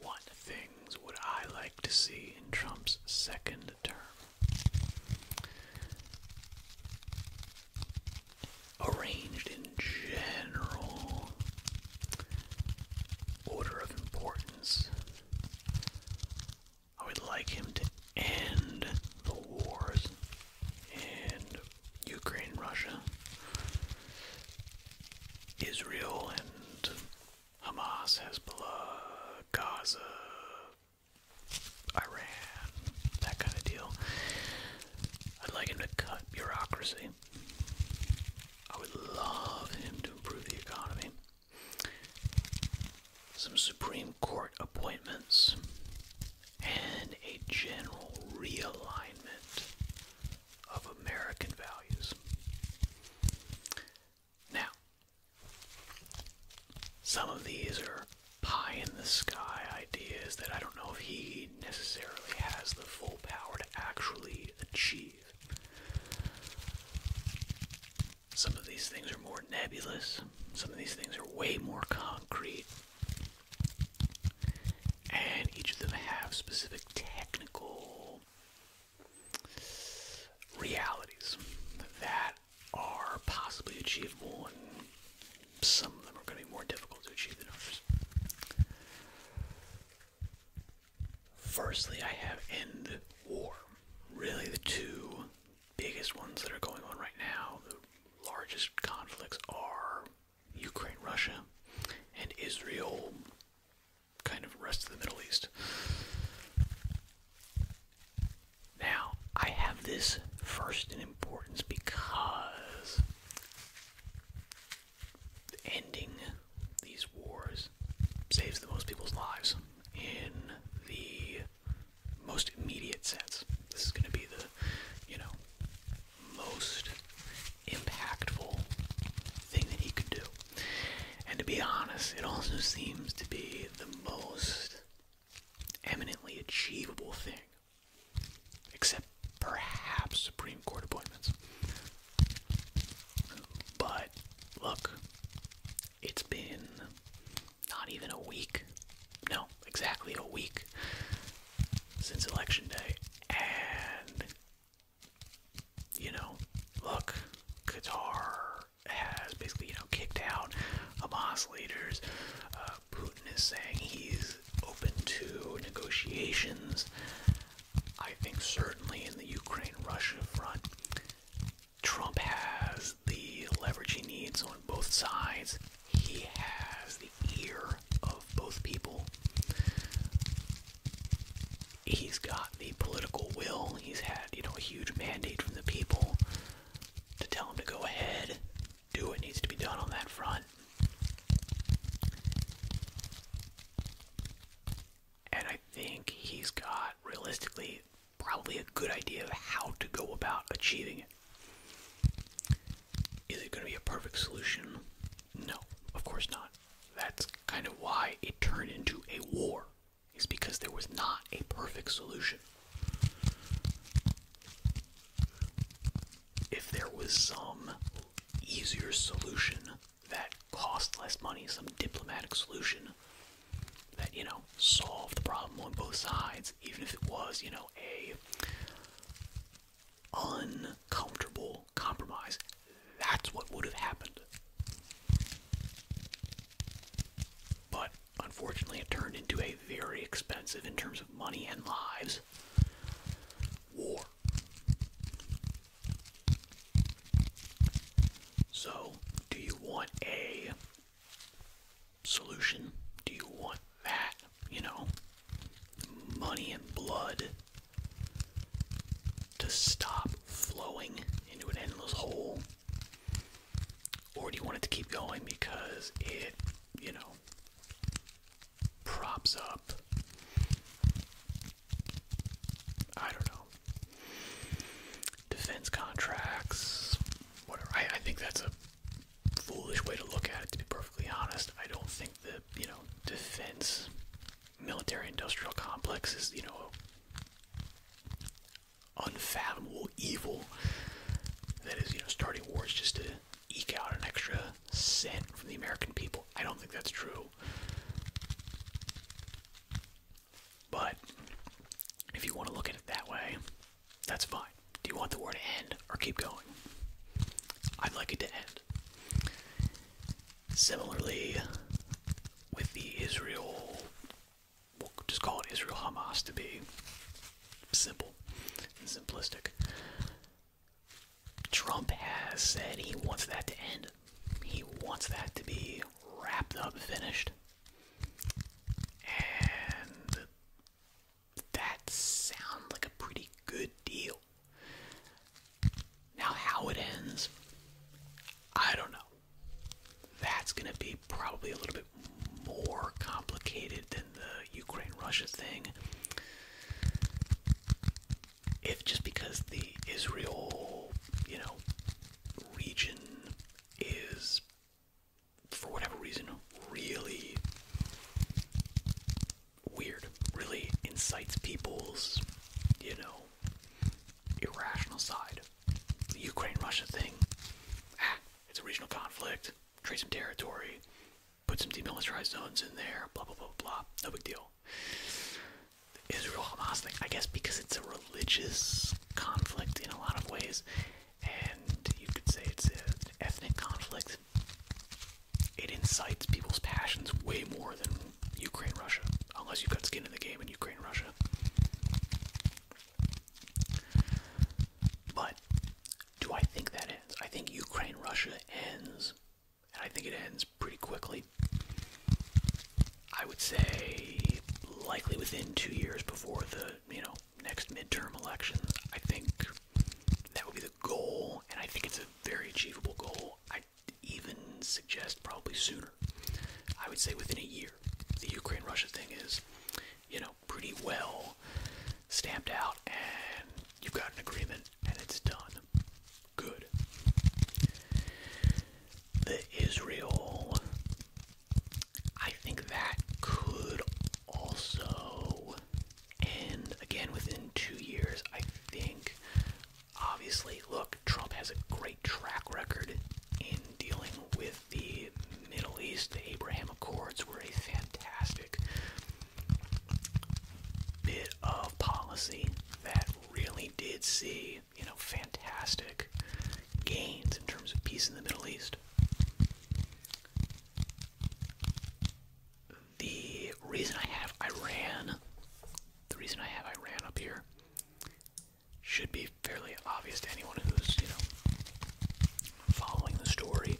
What things would I like to see in Trump's second term? Arranged in general order of importance, I would like him to end the wars in Ukraine, Russia, Israel, and Hamas, Hezbollah, Gaza, Iran, that kind of deal. I'd like him to cut bureaucracy. I would love him to improve the economy. Some Supreme Court appointments and a general realignment of American values. Now, some of these are pie in the sky ideas that I don't know if he necessarily has the full power to actually achieve. Some of these things are more nebulous, some of these things are way more concrete, and each of them have specific technical realities that are possibly achievable, and some of them are going to be more difficult to achieve than others. Firstly, I have end war. Really, the two biggest ones that are going on right now, the largest conflicts are Ukraine, Russia, and Israel, kind of rest of the Middle East. Now, I have this first in importance because ending these wars saves the most people's lives in the most immediate sense. This is going to be the, you know, most impactful thing that he could do. And to be honest, it also seems to be the most eminently achievable thing, except perhaps Supreme Court appointments. But look, it's been not even a week, no, exactly a week since Election Day, and you know, look, Qatar has basically, you know, kicked out Hamas leaders. Uh, Putin is saying he's open to negotiations. I think certainly in the Ukraine-Russia front, Trump has the leverage he needs on both sides. He has the ear of both people he's got the political will. He's had, you know, a huge mandate from the people to tell him to go ahead, do what needs to be done on that front. And I think he's got, realistically, probably a good idea of how to go about achieving it. Is it going to be a perfect solution? No, of course not that's kind of why it turned into a war, is because there was not a perfect solution. If there was some easier solution that cost less money, some diplomatic solution that, you know, solved the problem on both sides, even if it was, you know, a uncomfortable compromise. That's what would have happened. But unfortunately, it turned into a very expensive, in terms of money and lives, war. So, do you want a solution? Do you want that? You know, money and blood to stop flowing into an endless hole? Or do you want it to keep going because it, you know, props up? I don't know. Defense contracts, whatever. I, think that's a foolish way to look at it, to be perfectly honest. I don't think that you know defense military industrial complexes you know unfathomable evil that is you know starting wars just to eke out an extra cent from the American people. I don't think that's true. But if you want to look at it that way, that's fine. Do you want the war to end or keep going? I'd like it to end. Similarly, with the Israel, we'll just call it Israel Hamas to be simple and simplistic. Trump has said he wants that to end. He wants that to be wrapped up, finished. And that sounds like a pretty good deal. Now, how it ends, I don't know. That's going to be probably a little bit more complicated than the Ukraine Russia thing. If just because the Israel, you know, region is, for whatever reason, really weird. Really incites people's, you know, irrational side. The Ukraine Russia thing. Ah, it's a regional conflict. Trade some territory. Put some demilitarized zones in there. Blah, blah, blah, blah. No big deal. Israel Hamas thing. I guess because it's a religious conflict in a lot of ways. And you could say it's an ethnic conflict it incites people's passions way more than Ukraine Russia, unless you've got skin in the game in Ukraine Russia. But do I think that ends? I think Ukraine Russia ends, and I think it ends pretty quickly. I would say likely within two years before the you know next midterm elections. I think that would be the goal, and I think it's a very achievable goal. I even suggest probably sooner. I would say within a year. The Ukraine Russia thing is, you know, pretty well stamped out, and you've got an agreement, and it's done. Good. The Israel. I think that could also, and again within two years, I think, obviously, look, Trump has a great track record in dealing with the Middle East. The Abraham Accords were a fantastic bit of policy that really did see, you know, fantastic gains in terms of peace in the Middle East. The reason I have Iran, the reason I have Iran up here, should be fairly obvious to anyone who's, you know, following the story.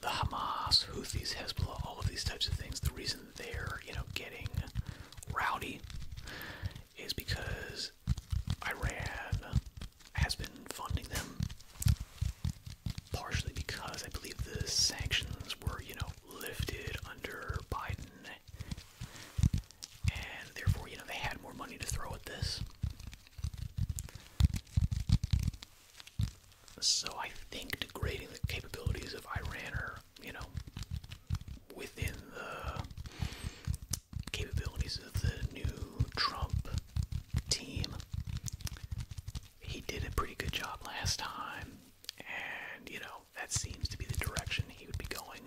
The Hamas, Houthis, Hezbollah, all of these types of things, the reason they're, you know, getting rowdy is because Iran has been funding them partially because I believe the sanctions were, you know, lifted under Biden, and therefore, you know, they had more money to throw at this. So I think degrading the capabilities of Iran are, you know, within the capabilities of the new Trump team he did a pretty good job last time, and you know, that seems to be the direction he would be going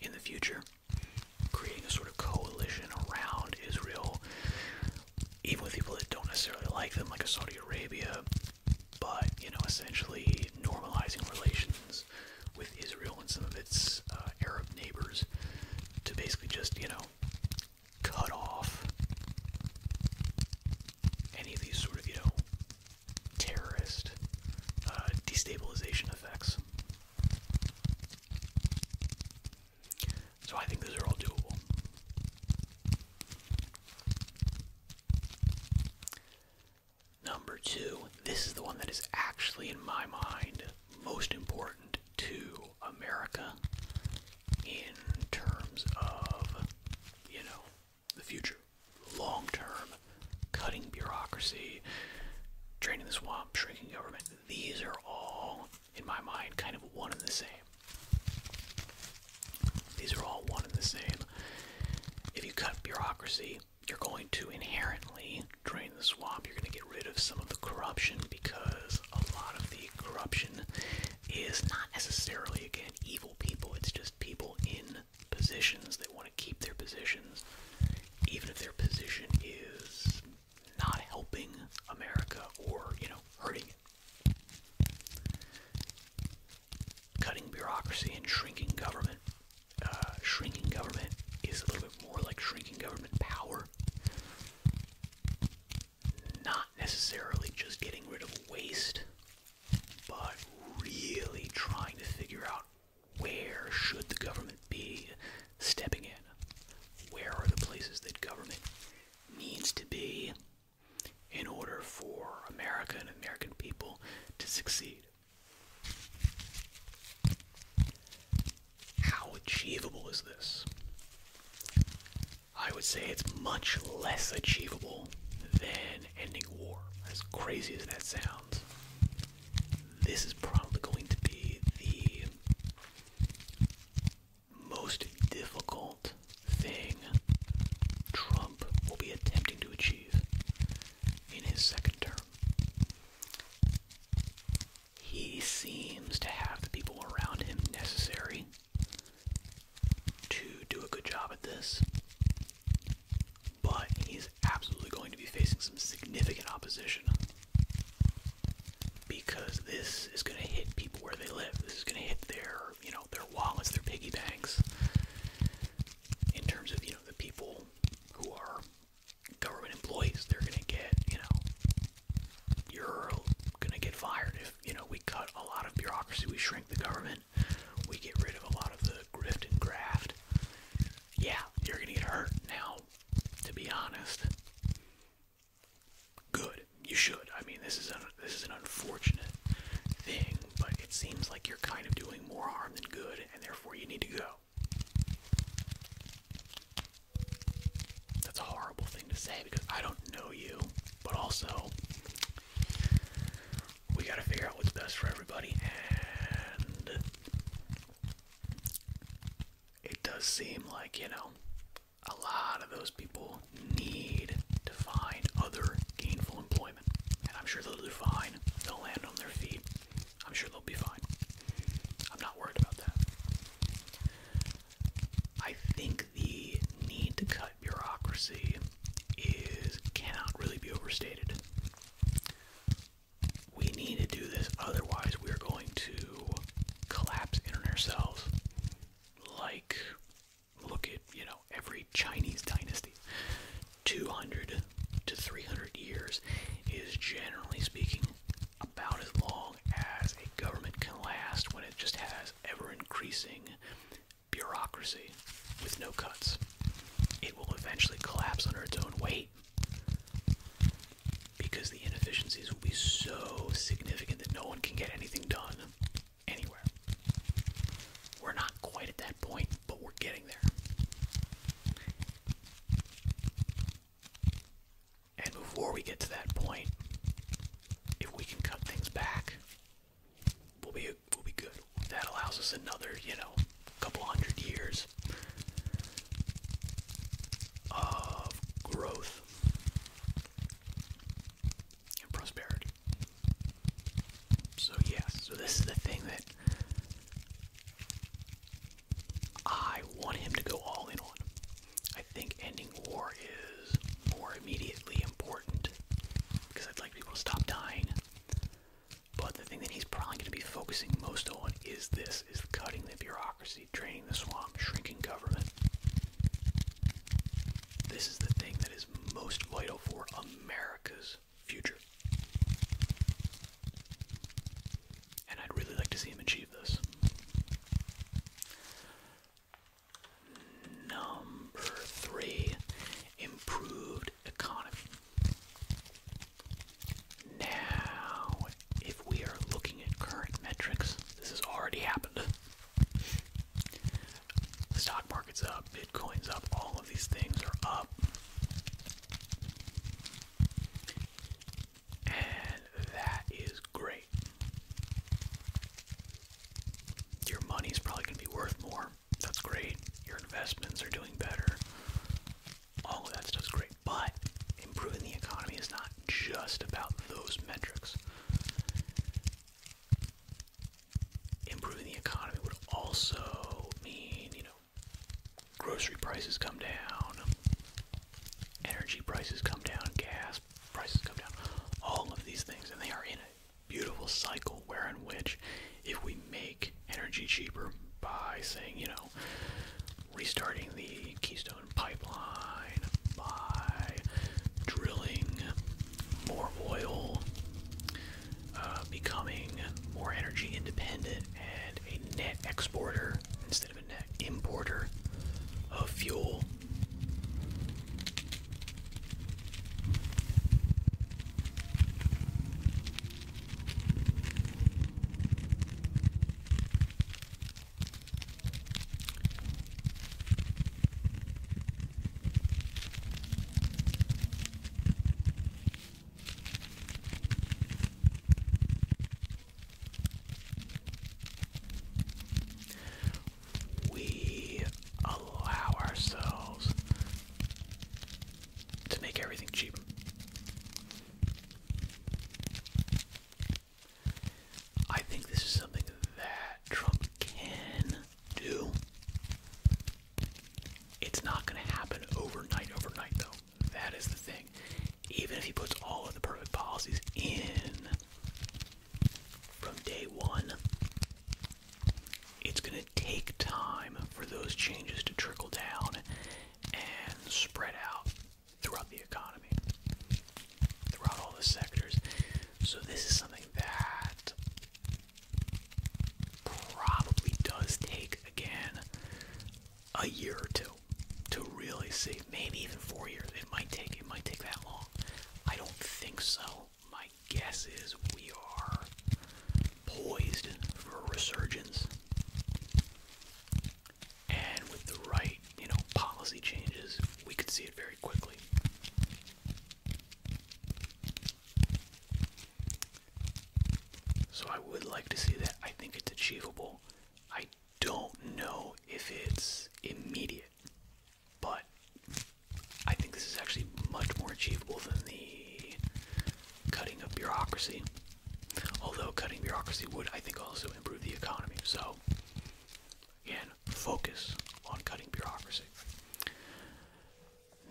in the future. Creating a sort of coalition around Israel, even with people that don't necessarily like them, like Saudi Arabia, but you know, essentially normalizing relations with Israel and some of its uh, Arab neighbors to basically just, you know, cut off any of these sort of, you know, terrorist uh, destabilization effects. So I think those are all doable. Number two, this is the one that is actually, in my mind, most important to America in terms of, you know, the future, long term, cutting bureaucracy, draining the swamp, shrinking government. These are all, in my mind, kind of one and the same. These are all one and the same. If you cut bureaucracy, you're going to inherently drain the swamp. You're going to get rid of some of the corruption because a lot of the corruption is not necessarily, again, evil people. It's just people in positions that want to keep their positions, even if their position is not helping America or, you know, hurting it. Cutting bureaucracy and shrinking government. Uh, shrinking government is a little bit more like shrinking government power not necessarily just getting rid of waste, but really trying to figure out where should the government be stepping in? Where are the places that government needs to be in order for America and American people to succeed? How achievable is this? I would say it's much less achievable than ending war. As crazy as that sounds, this is probably going to be the most difficult thing Trump will be attempting to achieve in his second term he seems to have the people around him necessary to do a good job at this. But he's absolutely going to be facing some significant opposition because this is going to hit people where they live. This is going to hit their, you know, their wallets, their piggy banks. In terms of, you know, the people who are government employees, they're going to get, you know, you're gonna get fired if you know we cut a lot of bureaucracy, we shrink the government, we get rid of a lot of the graft and graft. Yeah, you're gonna get hurt now. To be honest, good. You should. I mean, this is a this is an unfortunate thing, but it seems like you're kind of doing more harm than good, and therefore you need to go. That's a horrible thing to say because I don't know you, but also we gotta figure out what's best for everybody, and it does seem like, you know, a lot of those people need to find other gainful employment. And I'm sure they'll do fine. They'll land on their feet. I'm sure they'll be fine. I'm not worried about that. I think the need to cut bureaucracy is cannot really be overstated. We need to do this, otherwise we are going to collapse in on ourselves. Like, look at you know every Chinese dynasty. 200 to 300 years is generally speaking about as long as a government can last when it just has ever increasing bureaucracy with no cuts. It will eventually collapse under its own weight because the inefficiencies will be so significant that no one can get anything done anywhere. We're not quite at that point, but we're getting there. And before we get to that point, if we can cut things back, we'll be we'll be good. That allows us another, you know, couple hundred years of growth and prosperity. So yes, so this is the thing that I want him to go all in on. I think ending war is more immediately important because I'd like people to stop dying. But the thing that he's probably going to be focusing most on is this: is cutting the bureaucracy, draining the swamp, shrinking government. This is the thing that is most vital for America's future. And I'd really like to see him achieve this. Number three, improved economy. Now, if we are looking at current metrics, this has already happened. The stock market's up, Bitcoin's up, all of these things are up. And that is great. Your money's probably going to be worth more. That's great. Your investments are doing better. All of that stuff's great. But improving the economy is not just about those metrics. Improving the economy would also mean, you know, grocery prices come down, energy prices come down, gas prices come down, all of these things, and they are in a beautiful cycle wherein which if we make energy cheaper by saying, you know, restarting the Keystone pipeline, by drilling more oil, uh, becoming more energy independent and a net exporter instead an importer of fuel. We allow ourselves to make everything cheap. I think this is something that Trump can do. It's not going to happen overnight, overnight, though. That is the thing. Even if he puts all of the perfect policies in from day one, it's going to take time for those changes to trickle down and spread out throughout the economy, throughout all the sectors. So, this is something that probably does take, again, a year or two to really see. Maybe even four years. It might take it might take that long. I don't think so. My guess is we are poised for a resurgence. And with the right, you know, policy changes, we could see it very quickly. So I would like to see that. I think it's achievable. I don't know if it's immediate, but I think this is actually much more achievable than the cutting of bureaucracy. Although cutting bureaucracy would, I think, also improve the economy. So, again, focus on cutting bureaucracy.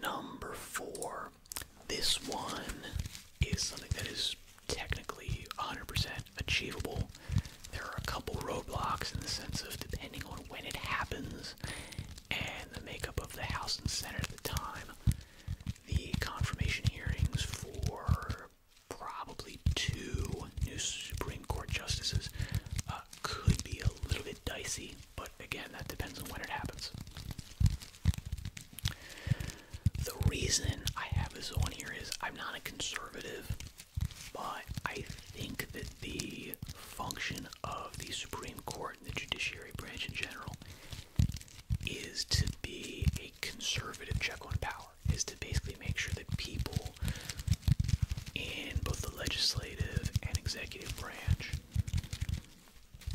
Number four this one is something that is technically 100% achievable. There are a couple roadblocks in the sense of depending on when it happens and the makeup of the House and Senate at the time. The confirmation hearings for probably two new Supreme Court justices uh, could be a little bit dicey, but again, that depends on when it happens. The reason I have this on here is I'm not a conservative, but I think that the function of the Supreme Court and the judiciary branch in general is to be a conservative check on power, is to basically make sure that people in both the legislative and executive branch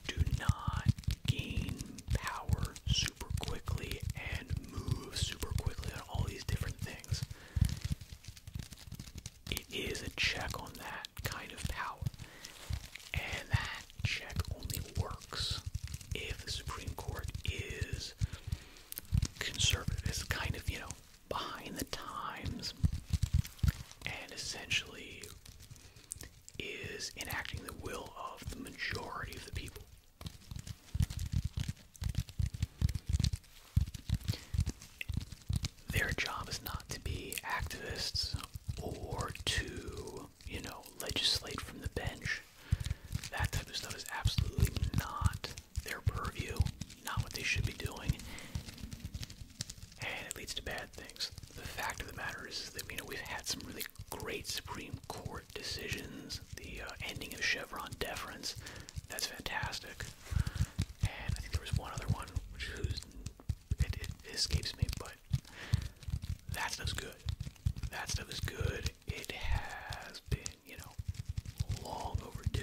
do not gain power super quickly and move super quickly on all these different things. It is a check on that kind of power. And that check only works if the Supreme Court is conservative. It's kind of, you know, behind the times and essentially is enacting the will of the majority of the people. Their job is not to be activists or to, you know, legislate from the bench. That type of stuff is absolutely not their purview, not what they should be doing and it leads to bad things. The fact of the matter is, that you know we've had some really great Supreme Court decisions. The uh, ending of Chevron deference, that's fantastic. And I think there was one other one, which is, it, escapes me, but that stuff is good. That stuff is good. It has been, you know, long overdue.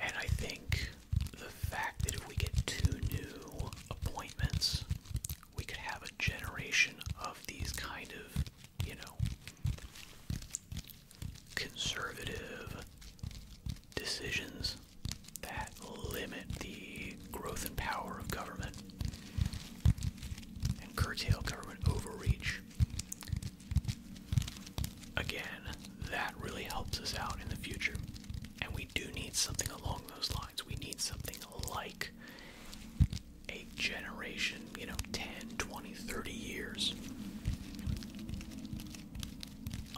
And I think the fact that if we get two new appointments, we could have a generation of these kind of, you know, conservative decisions that limit the growth and power of government and curtail government overreach. Again, that really helps us out in the future. And we do need something along those lines. We need something like a generation, you know, 10, 20, 30 years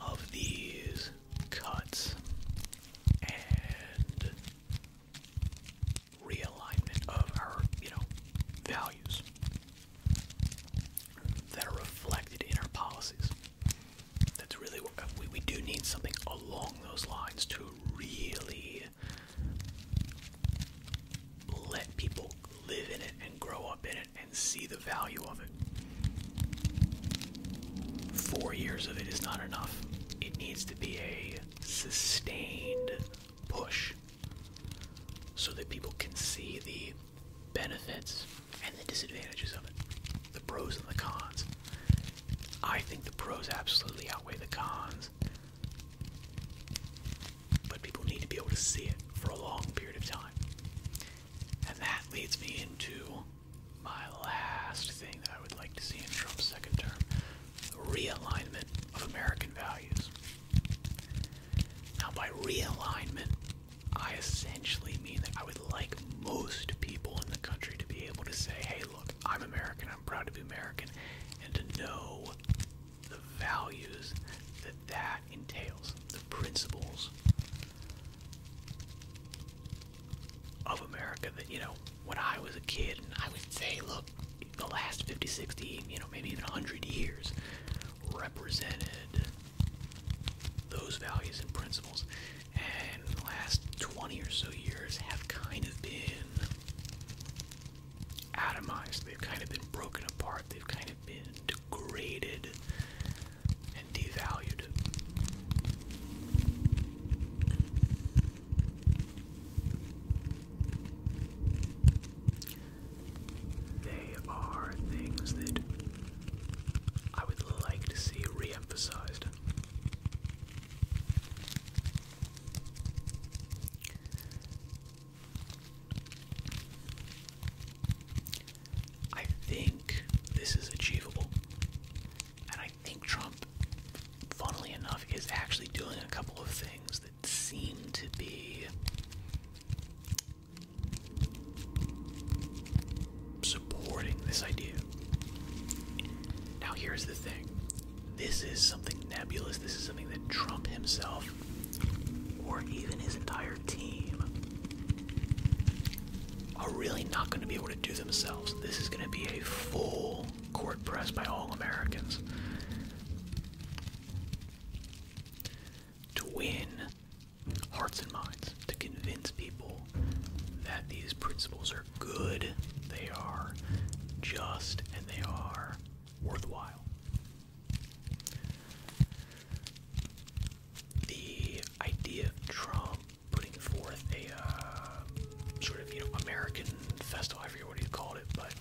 of these cuts and realignment of our, you know, values that are reflected in our policies. That's really uh, we, we do need something along those lines to really let people live in it and grow up in it and see the value of it. Four years of it is not enough. It needs to be a sustained push so that people can see the benefits and the disadvantages of it, the pros and the cons. I think the pros absolutely outweigh the cons, but people need to be able to see it for a long period of time. And that leads me into my last thing that I would like to see in Trump's second term the realignment of American values. Now, by realignment, I essentially mean that I would like most people in the country to be able to say, hey, look, I'm American, I'm proud to be American, and to know the values that that entails, the principles of America that, you know, when I was a kid, and I would say, look, the last 50, 60, you know, maybe even 100 years represented those values and principles. And the last 20 or so years have kind of been atomized. They've kind of been broken apart. They've kind of been degraded and devalued. They are things that I would like to see re emphasized. I think this is achievable. And I think Trump, funnily enough, is actually doing a couple of things seem to be supporting this idea. Now, here's the thing this is something nebulous, this is something that Trump himself or even his entire team are really not going to be able to do themselves. This is going to be a full court press by all Americans to win hearts and minds, to convince people that these principles are good, they are just, and they are worthwhile. The idea Trump putting forth a uh, sort of, you know, American festival, I forget what he called it, but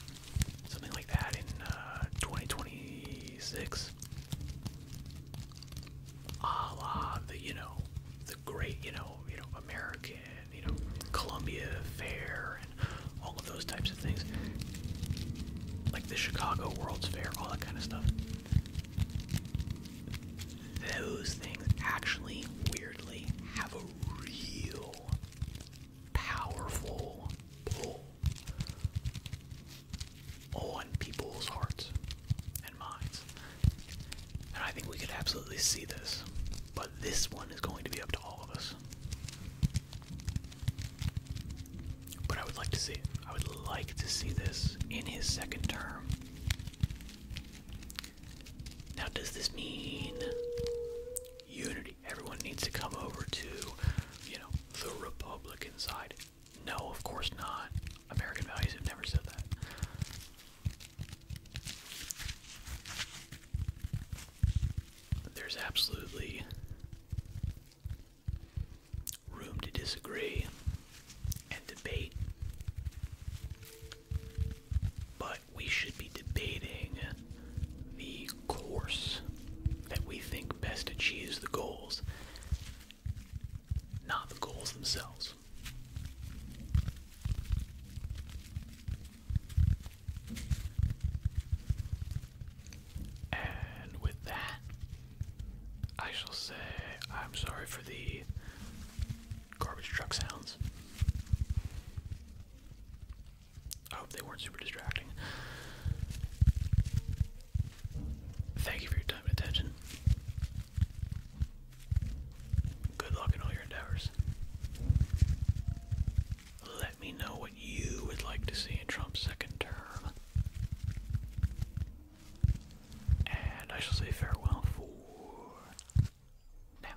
something like that in uh, 2026. A la the you know the great you know you know American you know Columbia Fair and all of those types of things, like the Chicago World's Fair, all that kind of stuff. Those things actually weirdly have a real powerful pull on people's hearts and minds. And I think we could absolutely see this. But this one is going to be up to all of us. But I would like to see I would like to see this in his second term. Now, does this mean unity. Everyone needs to come over to, you know, the Republican side. No, of course not. American values have never said that. There's absolutely room to disagree and debate. But we should be debating the course that we think best achieves the goals, not the goals themselves. And with that, I shall say I'm sorry for the garbage truck sounds. I hope they weren't super distracting. Thank you for your time and attention. Good luck in all your endeavors. Let me know what you would like to see in Trump's second term. And I shall say farewell for now.